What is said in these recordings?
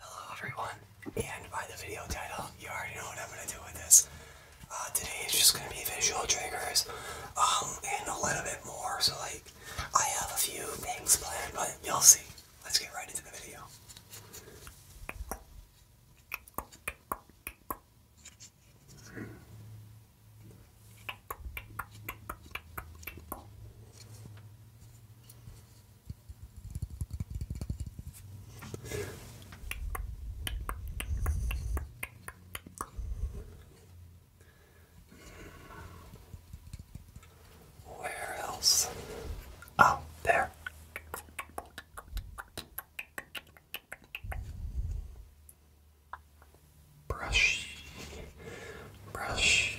Hello everyone, and by the video title, you already know what I'm going to do with this. Uh, today is just going to be visual triggers, um, and a little bit more, so like, I have a few things planned, but you'll see. Let's get right into the video. Where else? Oh, there. Brush, brush,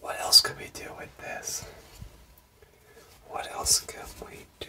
what else could we do with this? What else can we do?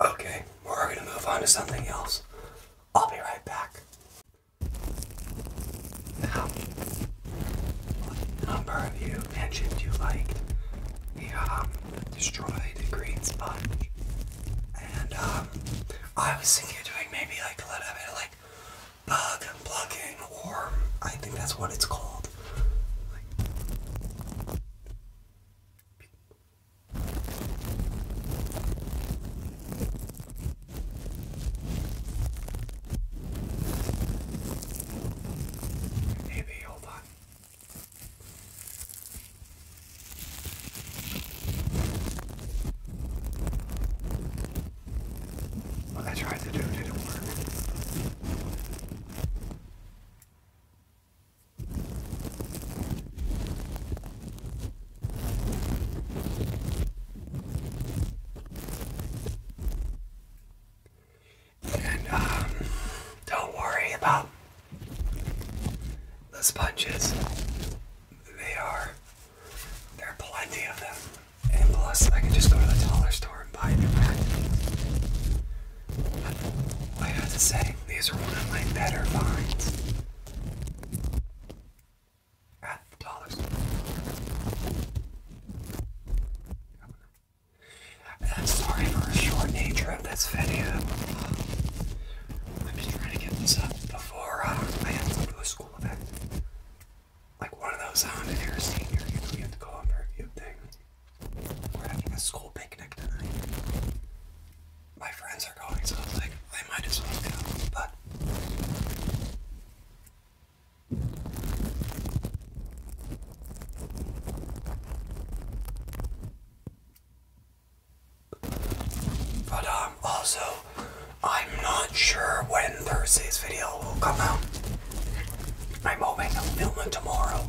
Okay, we're gonna move on to something else. I'll be right back. Now, what number of you mentioned you liked the um, destroyed green sponge? And um, I was thinking of doing maybe like a little bit of like bug plugging, or I think that's what it's called. Maybe hold on. What I tried to do didn't work. And um, don't worry about the sponges. They are, there are plenty of them. And plus, I can just go to the dollar store and buy a new pack. I have to say, these are one of my better finds at ah, the I'm sorry for the short nature of this video. I'm just trying to get this up before uh, I have to go to a school event. Like one of those on uh, an senior, you have to go on a few things. We're having a school picnic tonight my friends are going, so I was like, I might as well go. But but I'm um, also I'm not sure when Thursday's video will come out. I'm hoping I'll film it tomorrow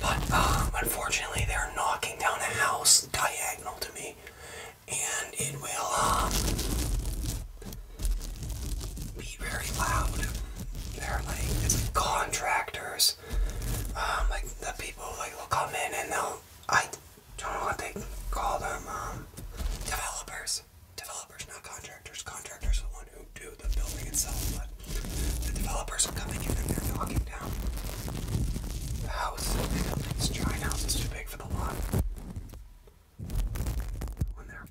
but um, unfortunately, they're knocking down a house diagonal to me, and it will um, be very loud. They're like it's like contractors, um, like the people like will come in and they'll I don't know what they call them developers, developers, not contractors. Contractors are the one who do the building itself, the developers are coming in and they're knocking down the house. this giant house is too big for the lot. One there.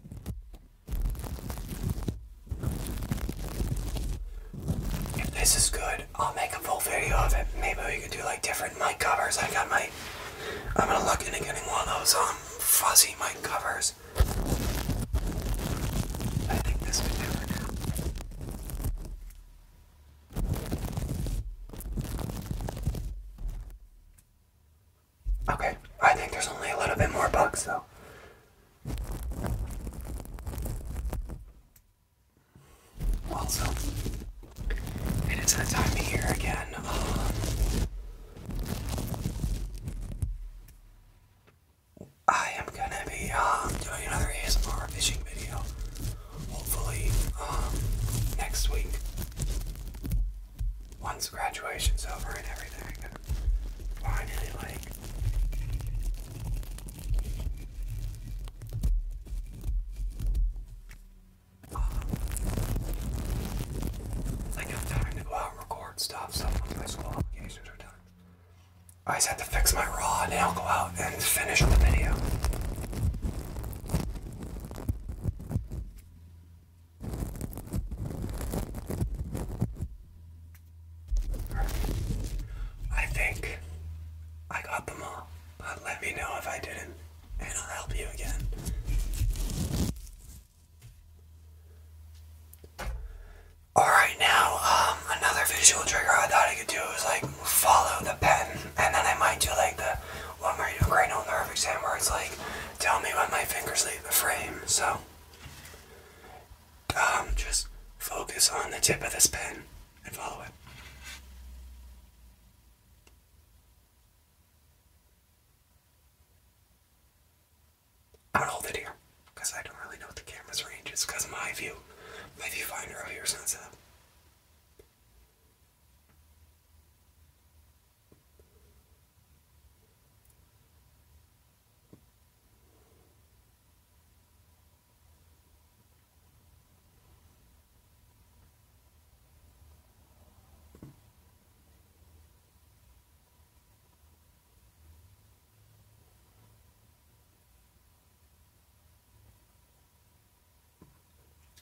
If this is good, I'll make a full video of it. Maybe we could do like different mic covers. I got my. I'm gonna look into getting one of those um fuzzy mic covers. I think this could do it Okay, I think there's only a little bit more bugs though. Also, it is that time of year again. Um, I am gonna be um, doing another ASMR fishing video, hopefully um, next week. Once graduation's over and everything, finally like um, like time to go out and record stuff. So once my school obligations are done. I just had to fix my rod and I'll go out and finish the video. I think I got them all, but let me know if I didn't and I'll help you again. Alright now, um, another visual trigger I thought I could do is like follow the pen and then I might do like the one where you do a cranial nerve exam where it's like tell me when my fingers leave the frame. So um, just focus on the tip of this pen and follow it i am gonna hold it here because I don't really know what the camera's range is because my view, my viewfinder over here is not set up.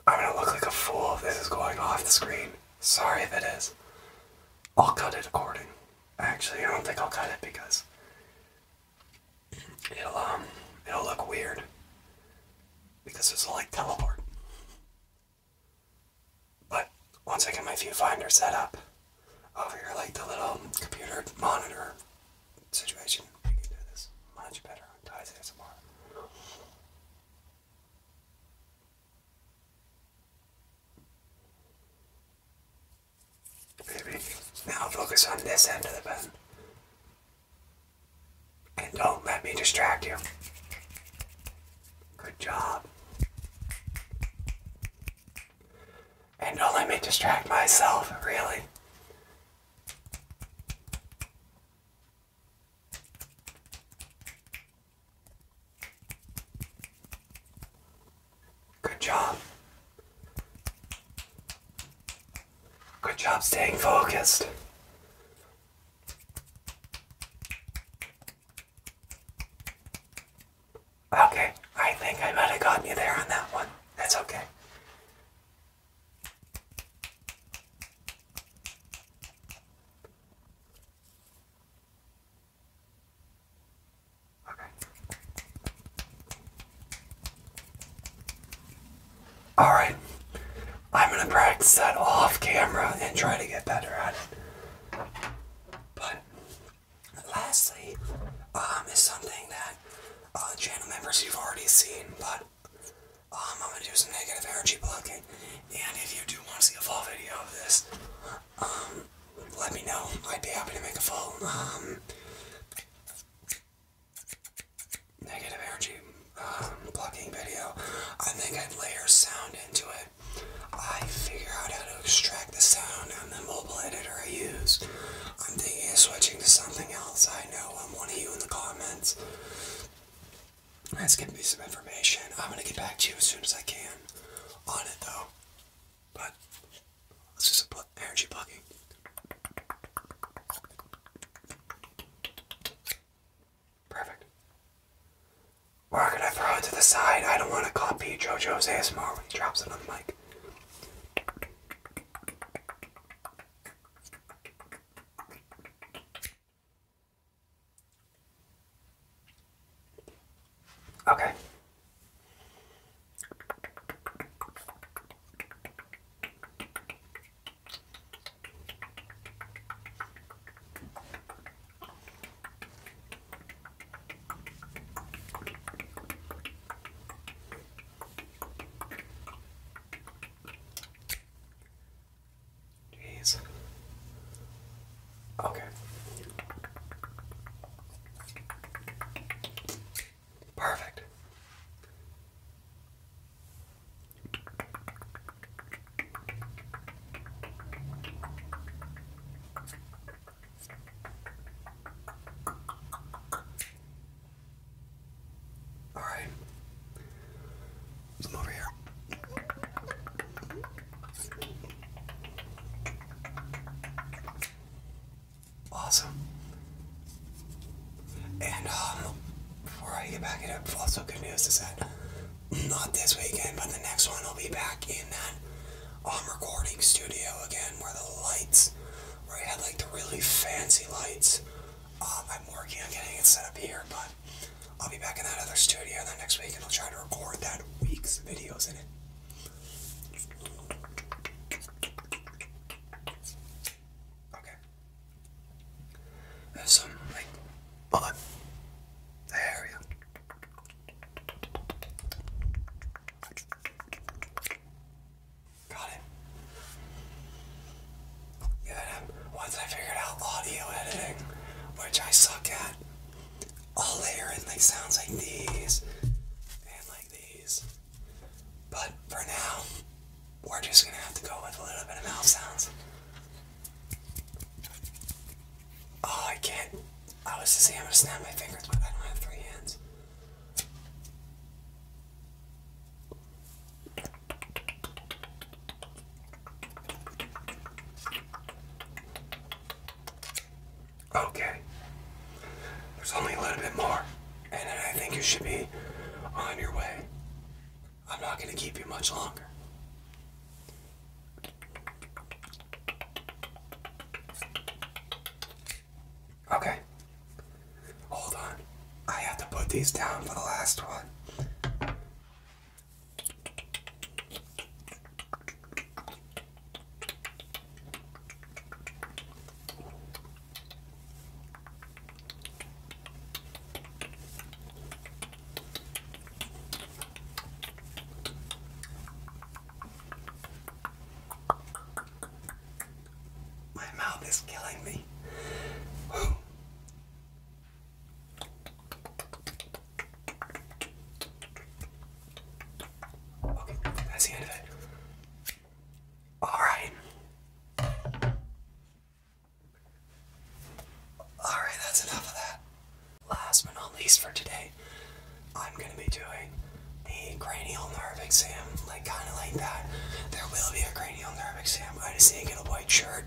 I'm gonna look like a fool if this is going off the screen. Sorry if it is. I'll cut it according. Actually, I don't think I'll cut it because it'll um it'll look weird. Because it's like teleport. But once I get my viewfinder set up, over oh, your like the little computer monitor situation. You can do this much better on Ties ASMR. Maybe. Now focus on this end of the pen. And don't let me distract you. Good job. And don't let me distract myself, really. Good job. Good job staying focused. Okay, I think I might have gotten you there on that one. That's okay. Okay. Alright, I'm going to practice that off camera and try to get better at it. But Lastly, um, is something that uh, channel members you've already seen, but um, I'm gonna do some negative energy blocking. And if you do want to see a full video of this, um, let me know. I'd be happy to make a full negative energy blocking video. I think I'd layer sound into it. I figure out how to extract the sound on the mobile editor I use. I'm thinking of switching to something else. I know I'm one of you in the comments. That's giving me some information. I'm gonna get back to you as soon as I can on it though. But let's do some energy plugging. Perfect. Or are going throw it to the side. I don't want to copy JoJo's ASMR when he drops it on the mic. Okay. Jeez. Okay. Perfect. All right, come over here. Awesome. And um, before I get back it up, also good news is that not this weekend, but the next one I'll be back in that on um, recording studio again where the lights, where I had like the really fancy lights. Um, I'm working on getting it set up here, but I'll be back in that other studio the next week and I'll try to record that week's videos in it. Okay. There's some like on the area. Got it. And then once I figured out audio editing, which I suck at, I'll layer in like sounds like these and like these. But for now, we're just gonna have to go with a little bit of mouth sounds. Oh, I can't. Oh, I was just saying I'm gonna snap my fingers, but I don't have three hands. Okay. There's only a little bit more, and I think you should be on your way. I'm not gonna keep you much longer. Okay. Hold on. I have to put these down for the last one. My mouth is killing me. Okay, that's the end of it. All right. Alright, that's enough of that. Last but not least for today, I'm going to be doing the cranial nerve exam, like kind of like that. There will be a cranial nerve exam. I just need to get a white shirt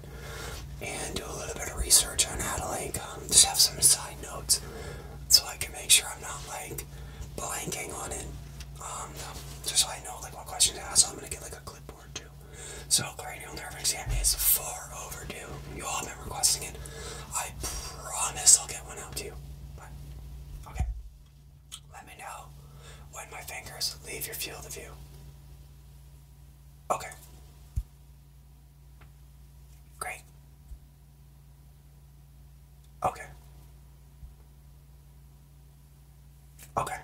and do a little bit of research on how to like um, just have some side notes so I can make sure I'm not like blanking on it. Um, just so I know like what questions to ask. So I'm gonna get like a clipboard so cranial nerve exam is far overdue. You all have been requesting it. I promise I'll get one out to you. But, okay. Let me know when my fingers leave your field of view. Okay. Great. Okay. Okay.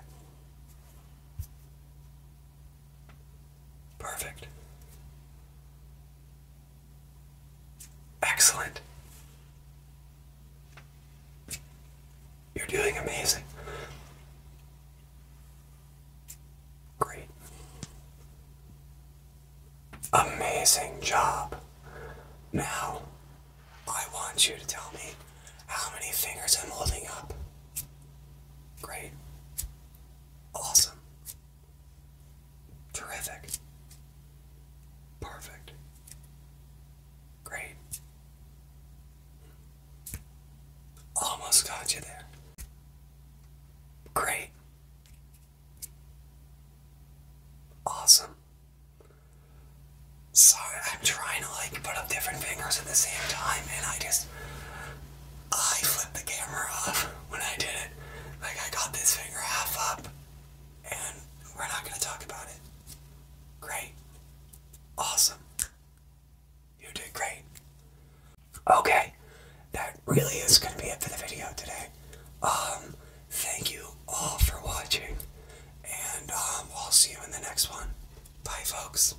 Perfect. Excellent. You're doing amazing. Great. Amazing job. Now, I want you to tell me how many fingers I'm holding up. Great. Awesome. Terrific. Perfect. Great. Almost got you there. Great. Awesome. Sorry, I'm trying to like put up different fingers at the same time and I just I flipped the camera off when I did it. Like, I got this finger half up, and we're not gonna talk about it. Great. Awesome. You did great. Okay, that really is gonna be it for the video today. Um, thank you all for watching, and um, I'll see you in the next one. Bye, folks.